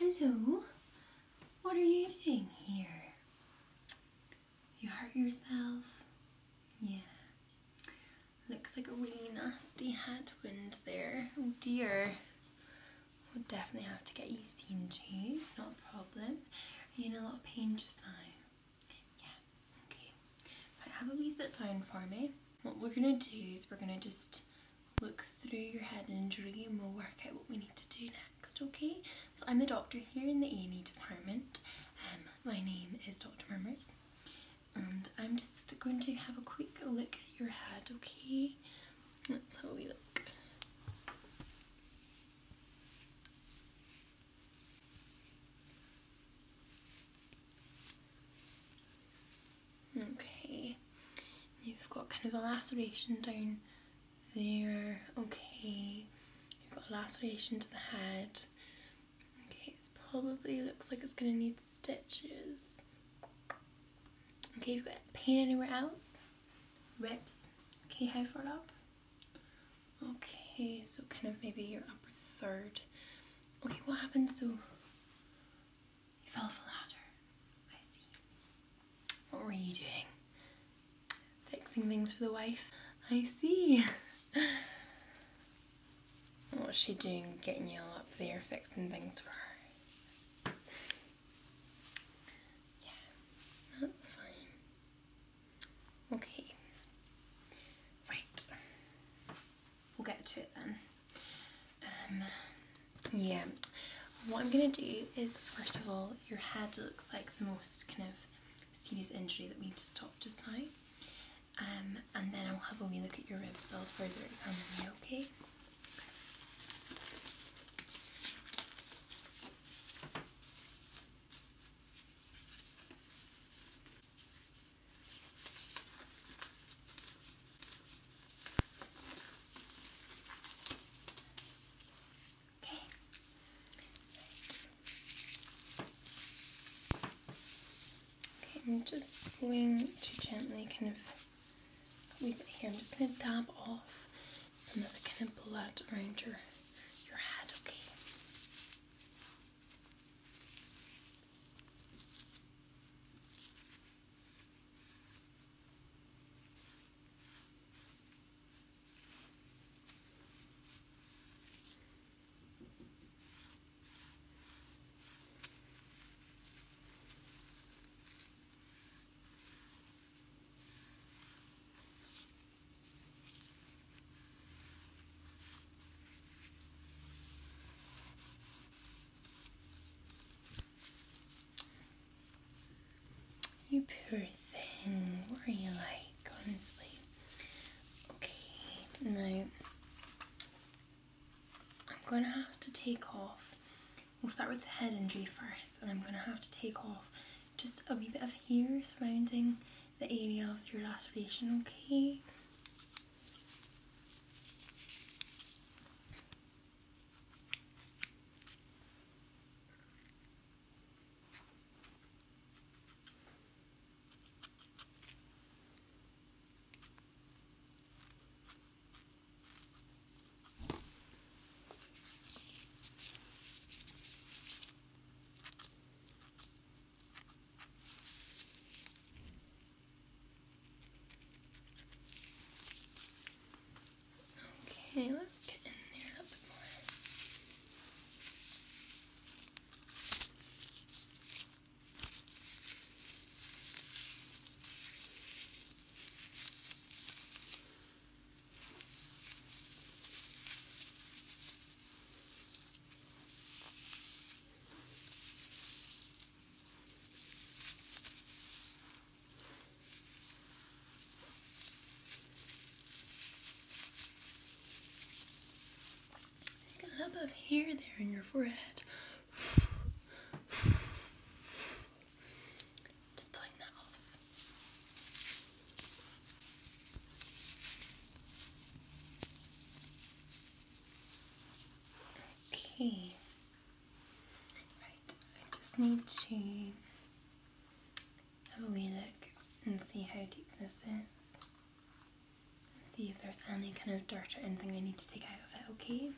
Hello. What are you doing here? You hurt yourself? Yeah. Looks like a really nasty head wound there. Oh dear. We'll definitely have to get you seen to. It's not a problem. Are you in a lot of pain just now? Yeah, okay. Right, have a wee sit down for me. What we're going to do is we're going to just look through your head injury and we'll work out what we need to do next, okay? So I'm the doctor here in the A&E department. Um, my name is Dr. Murmers, and I'm just going to have a quick look at your head, okay? That's how we look. Okay, you've got kind of a laceration down there. Okay, you've got a laceration to the head. Okay, it probably looks like it's going to need stitches. Okay, you've got pain anywhere else? Rips. Okay, how far up? Okay, so kind of maybe your upper third. Okay, what happened? So you fell off a ladder. I see. What were you doing? Fixing things for the wife. I see. What's she doing getting you all up there fixing things for her? Yeah, that's fine. Okay. Right. We'll get to it then. Um, yeah. What I'm going to do is, first of all, your head looks like the most kind of serious injury that we need to stop just now. Um, and then I'll have a wee look at your ribs. I'll further examine you, okay? Okay. Okay, I'm just going to gently kind of leave it here. I'm just going to dab off another of the kind of blood around your your head, okay? Okay. You poor thing, what are you like, honestly? Okay, now I'm gonna have to take off. We'll start with the head injury first, and I'm gonna have to take off just a wee bit of hair surrounding the area of your laceration, okay? Okay, let's get in there a bit more. Make a hub of hair there in your forehead. Just pulling that off. Okay. Right, I just need to have a wee look and see how deep this is. See if there's any kind of dirt or anything I need to take out of it, okay?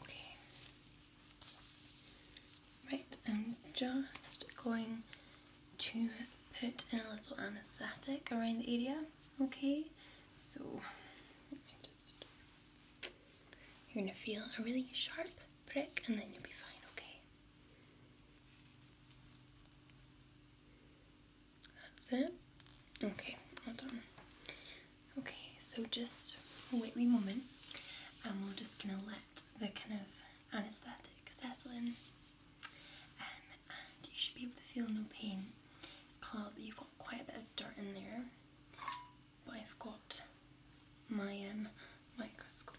Okay. Right, I'm just going to put in a little anaesthetic around the area, okay? So you're gonna feel a really sharp prick and then you'll be fine, okay? That's it. Okay, all done. Okay, so just wait a moment and we're just gonna let the kind of anesthetic settle in and you should be able to feel no pain. because you've got quite a bit of dirt in there, but I've got my um, microscope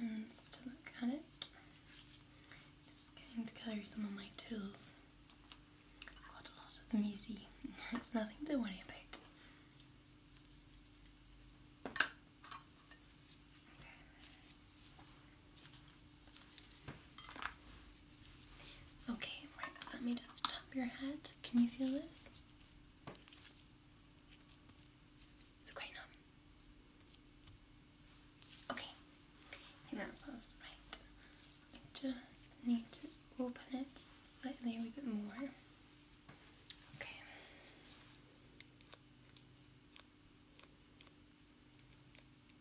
lens to look at it. Just getting together some of my tools. got a lot of them easy. it's nothing to worry about. Okay, right, let me just tap your head. Can you feel this? Is quite numb? Okay, I right. I just need to open it slightly a bit more. Okay.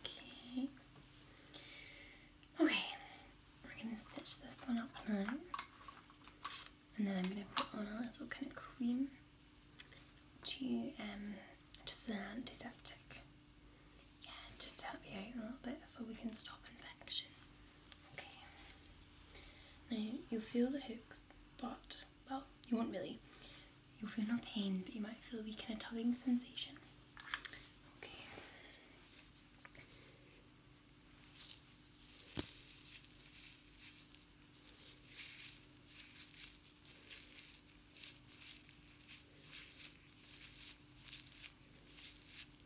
Okay. Okay, we're gonna stitch this one up And then I'm gonna put on a little kind of cream to um just an antiseptic. Yeah, just to help you out a little bit so we can stop infection. Okay. Now you'll feel the hooks, but well, you won't really. You'll feel no pain, but you might feel a wee kind of tugging sensation. Okay.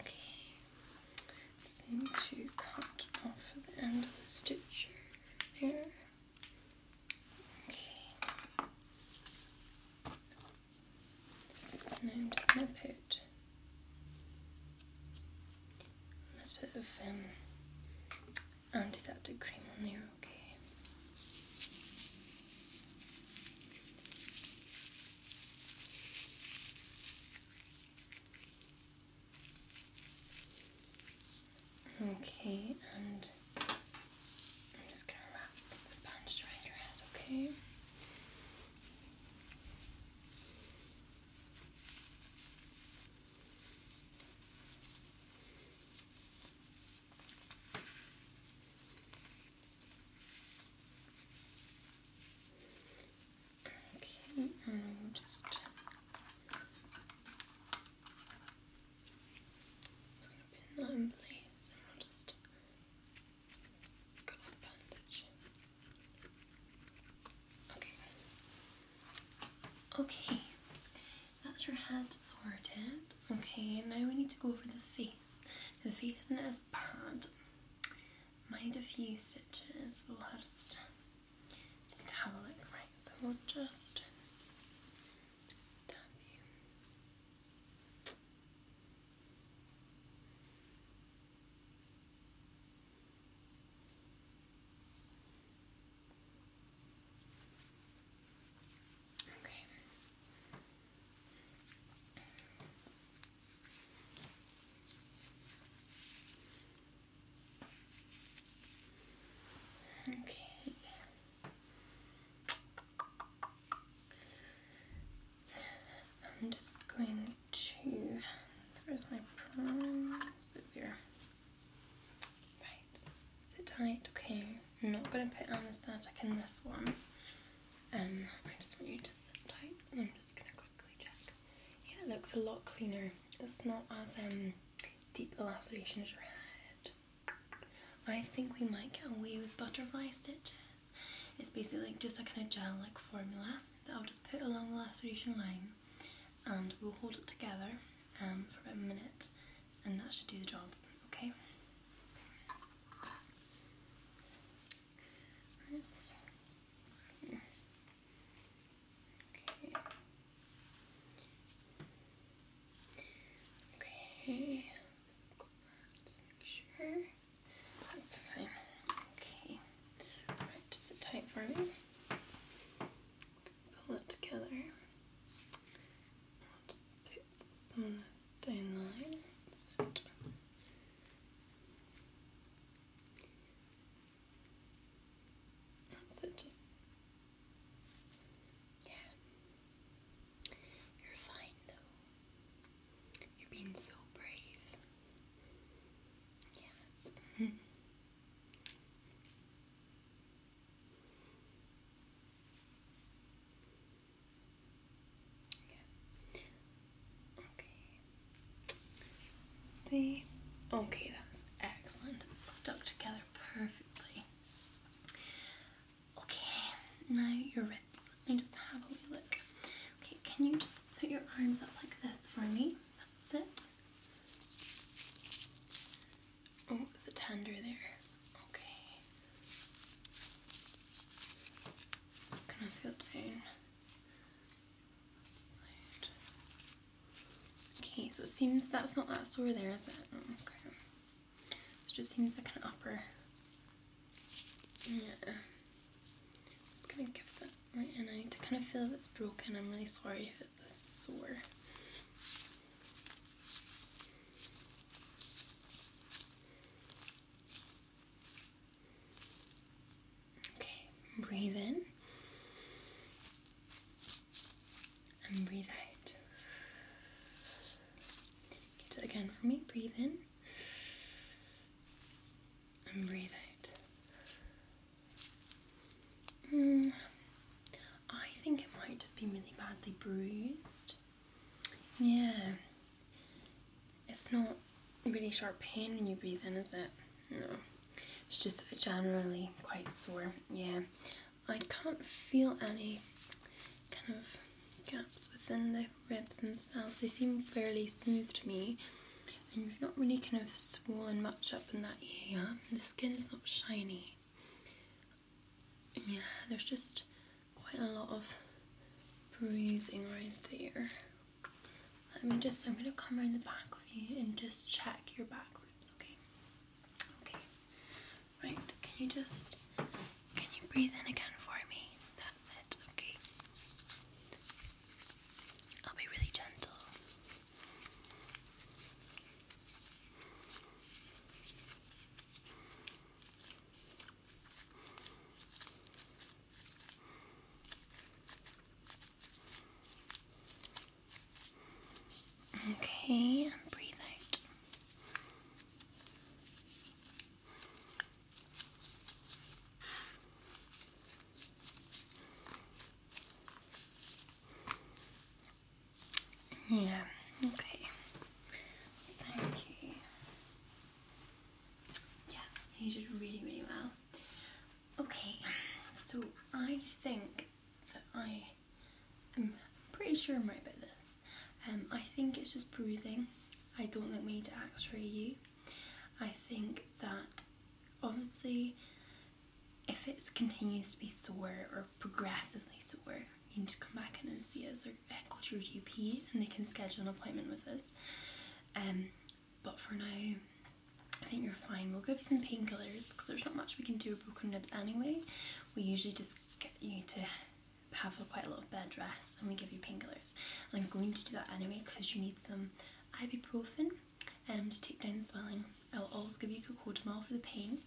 Okay, just need to cut off the end of the stitch there. Okay. And I'm just gonna put a little bit of um, antiseptic cream on there, okay? Okay, and I'm just going to wrap the sponge around your head, okay? Okay, and um, just just gonna pin that in place, and I'll just cut off the bandage. Okay. Okay, that's your head sorted. Okay, now we need to go over the face. The face isn't as bad. Might need a few stitches. We'll have to just have a look, right? So we'll just tap you. Okay. Okay. I'm just going to there's my prawns Right. Is tight? Okay. not gonna put anesthetic in this one. Um, I just want you to sit tight I'm just going to quickly check. Yeah, it looks a lot cleaner. It's not as um, deep a laceration as your head. I think we might get away with butterfly stitches. It's basically like just a kind of gel like formula that I'll just put along the laceration line and we'll hold it together um, for about a minute and that should do the job, okay? Okay. Okay. let make sure. That's fine. Okay. Alright, just sit tight for me. Pull it together. It's sanat That's it, just. Yeah. You're fine though. You're being so brave. Yeah. Okay. See? Okay, that was excellent. It's stuck together perfectly. Okay, now you're ready. Let me just have a look. Okay, can you just put your arms up like this for me? That's it. Oh, is a tender there? Okay. Okay, so it seems that's not that sore there, is it? Oh, okay. It just seems like an upper. Yeah. Just gonna give that right in. I need to kind of feel if it's broken. I'm really sorry if it's a sore. Okay, breathe in and breathe out. Get it again for me. Breathe in and breathe out. Mm, I think it might just be really badly bruised. Yeah. It's not really sharp pain when you breathe in, is it? No. It's just generally quite sore. Yeah. I can't feel any kind of gaps within the ribs themselves. They seem fairly smooth to me. And you've not really kind of swollen much up in that area. The skin's not shiny yeah, there's just quite a lot of bruising right there. Let me just, I'm going to come around the back of you and just check your back ribs, okay? Okay. Right, can you just, can you breathe in again for me? That's it, okay. I'll be really gentle. Okay, breathe out. Yeah, okay. Thank you. Yeah, you did really, really well. Okay, so I think that I am pretty sure I'm right about this. Um, I think it's just bruising. I don't think we need to x-ray you. I think that obviously if it continues to be sore or progressively sore, you need to come back in and see us or called your GP and they can schedule an appointment with us. Um, but for now, I think you're fine. We'll give you some painkillers because there's not much we can do with broken ribs anyway. We usually just get you to have a quite a lot of bed rest and we give you painkillers. I'm going to do that anyway because you need some ibuprofen and um, to take down the swelling. I'll also give you a cocodamol for the pain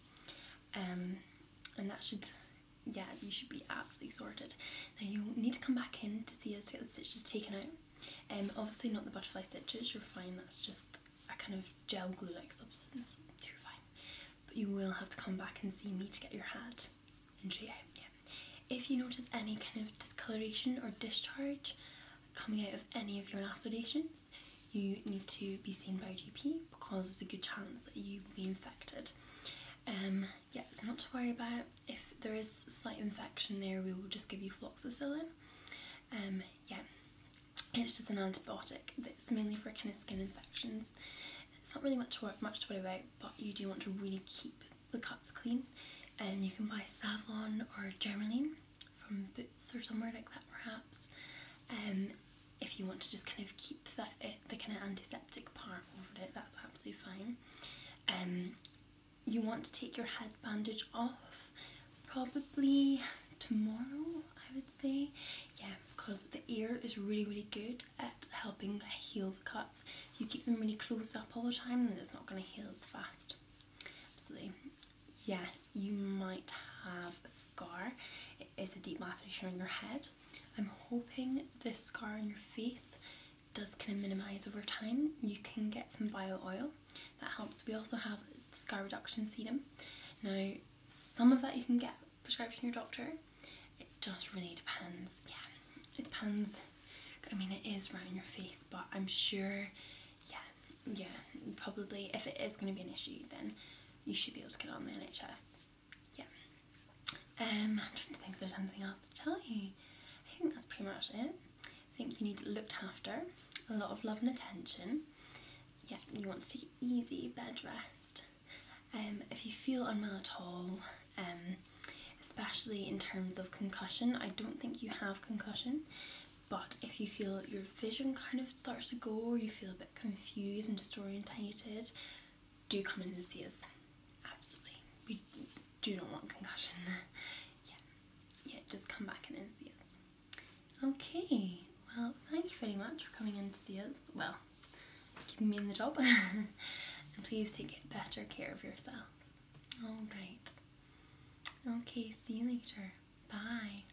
um, and that should yeah, you should be absolutely sorted. Now you need to come back in to see us to get the stitches taken out. Um, obviously not the butterfly stitches, you're fine, that's just a kind of gel glue like substance, you're fine. But you will have to come back and see me to get your hat injury out, yeah. If you notice any kind of discoloration or discharge coming out of any of your lacerations, you need to be seen by a GP because there's a good chance that you will be infected. Um, yeah, it's not to worry about. If there is slight infection there, we will just give you floxicillin. Um, yeah, it's just an antibiotic It's mainly for kind of skin infections. It's not really much to work, much to worry about, but you do want to really keep the cuts clean. And um, you can buy Savlon or Germaline from Boots or somewhere like that, perhaps. Um, if you want to just kind of keep that it, the eh, kind of antiseptic part over it, that's absolutely fine. Um, you want to take your head bandage off probably tomorrow, I would say. Yeah, because the ear is really, really good at helping heal the cuts. If you keep them really closed up all the time, then it's not going to heal as fast. Absolutely. Yes, you might have a scar. It's a deep massage on your head. I'm hoping this scar on your face does kind of minimise over time. You can get some bio oil that helps. We also have scar reduction sedum. Now, some of that you can get prescribed from your doctor. It just really depends. Yeah, it depends. I mean, it is right on your face, but I'm sure, yeah, yeah, probably if it is going to be an issue, then you should be able to get on the NHS yeah. Um, I'm trying to think if there's anything else to tell you. I think that's pretty much it. I think you need looked after, a lot of love and attention. Yeah, you want to take easy bed rest. Um, if you feel unwell at all, um, especially in terms of concussion, I don't think you have concussion, but if you feel you're vision kind of starts to go or you feel a bit confused and disorientated, do come in and see us. Absolutely. We do not want concussion. yeah. Yeah, just come back in and see us. Okay. Well, thank you very much for coming in to see us. Well, keeping me in the job. and please take better care of yourself. Alright. Okay, see you later. Bye.